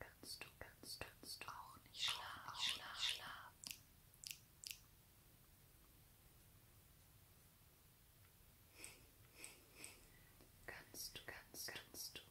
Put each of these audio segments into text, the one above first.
Kannst du, kannst, kannst du auch nicht schlafen, auch nicht schlafen. schlafen. Kannst du, kannst, kannst du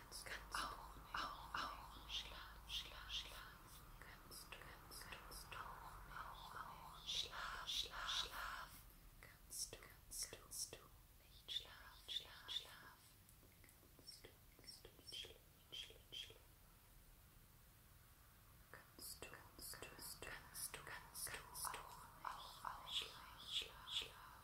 kannst, kannst oh, du oh, oh, Schlaf, Schlaf, Schlaf, kannst du, kannst, kannst du nicht, Schlaf, Schlaf, Schlaf, kannst du, kannst, kannst du nicht, Schlaf, Schlaf, Schlaf, kannst du, kannst du nicht, Schlaf, Schlaf, kannst du, kannst du, kannst du, kannst du auch nicht, Schlaf, Schlaf, Schlaf.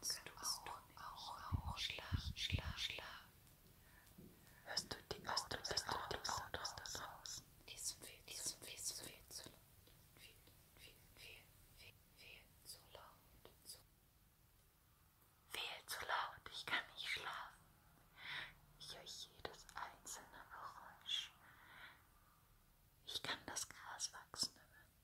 kannst du auch, auch, auch schlafen, schlafen, schlafen. Hörst du die Autos, hörst du, hörst du die Autos da draußen? Die sind viel, die sind viel, zu viel, zu laut. Viel, viel, viel, viel, viel zu laut. Zu viel zu laut, ich kann nicht schlafen. Ich höre jedes einzelne Geräusch. Ich kann das Gras wachsen hören.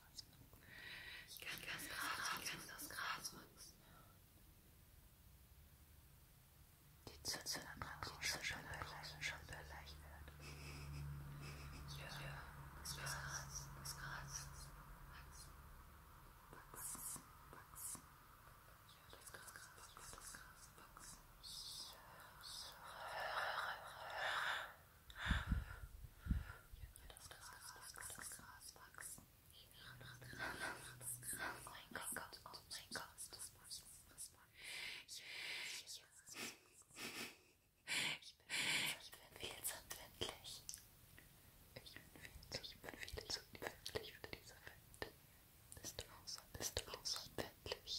Ich kann das Gras, ich kann das Gras wachsen. Die Zitze an der Krone schon beleicht, schon beleicht wird. Ja, das Gras, das Gras wachsen, wachsen, wachsen. Ja, das Gras, das Gras wachsen. Höre, höre, höre. viel zu empfindlich. Ich bin viel zu empfindlich für diese Welt. Bist du außerordentlich? Bist du außerordentlich?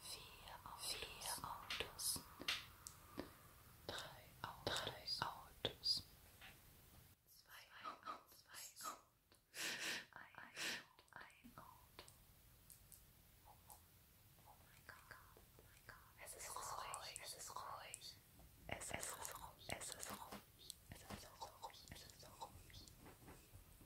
vier Autos, Autos. Drei, Autos. drei Autos, zwei, Oh, oh, oh oh mein Gott. Es ist ruhig, es ist ruhig. Es ist ruhig, es ist ruhig.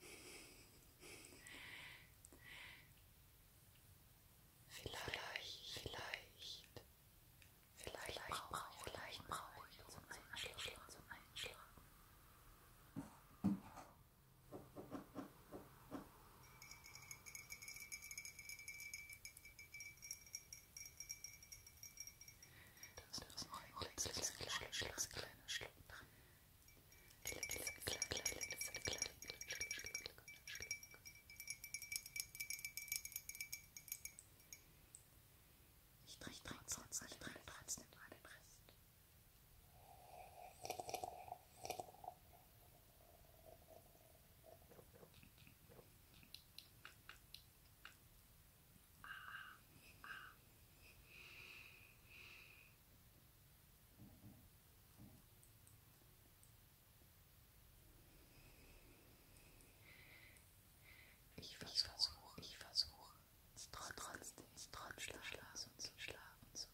Ich, ich, ich. Vielleicht, vielleicht, vielleicht, vielleicht brauche ich, vielleicht brauche ich zum Einschlafen, zum Einschlafen. Das ist das noch ein letztes kleines Schluck, kleiner Schluck. Ich trinke trotzdem, ich trinke trotzdem mal den Rest. Ich versuche, ich versuche trotz, trotzdem, trotzdem, trotz Schlaf und so Schlaf und so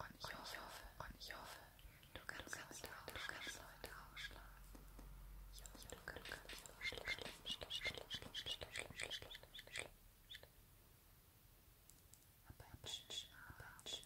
Und ich hoffe, und ich hoffe, du kannst heute auch schlafen. Ich hoffe, du kannst auch schlafen. Aber einen schönen Abend.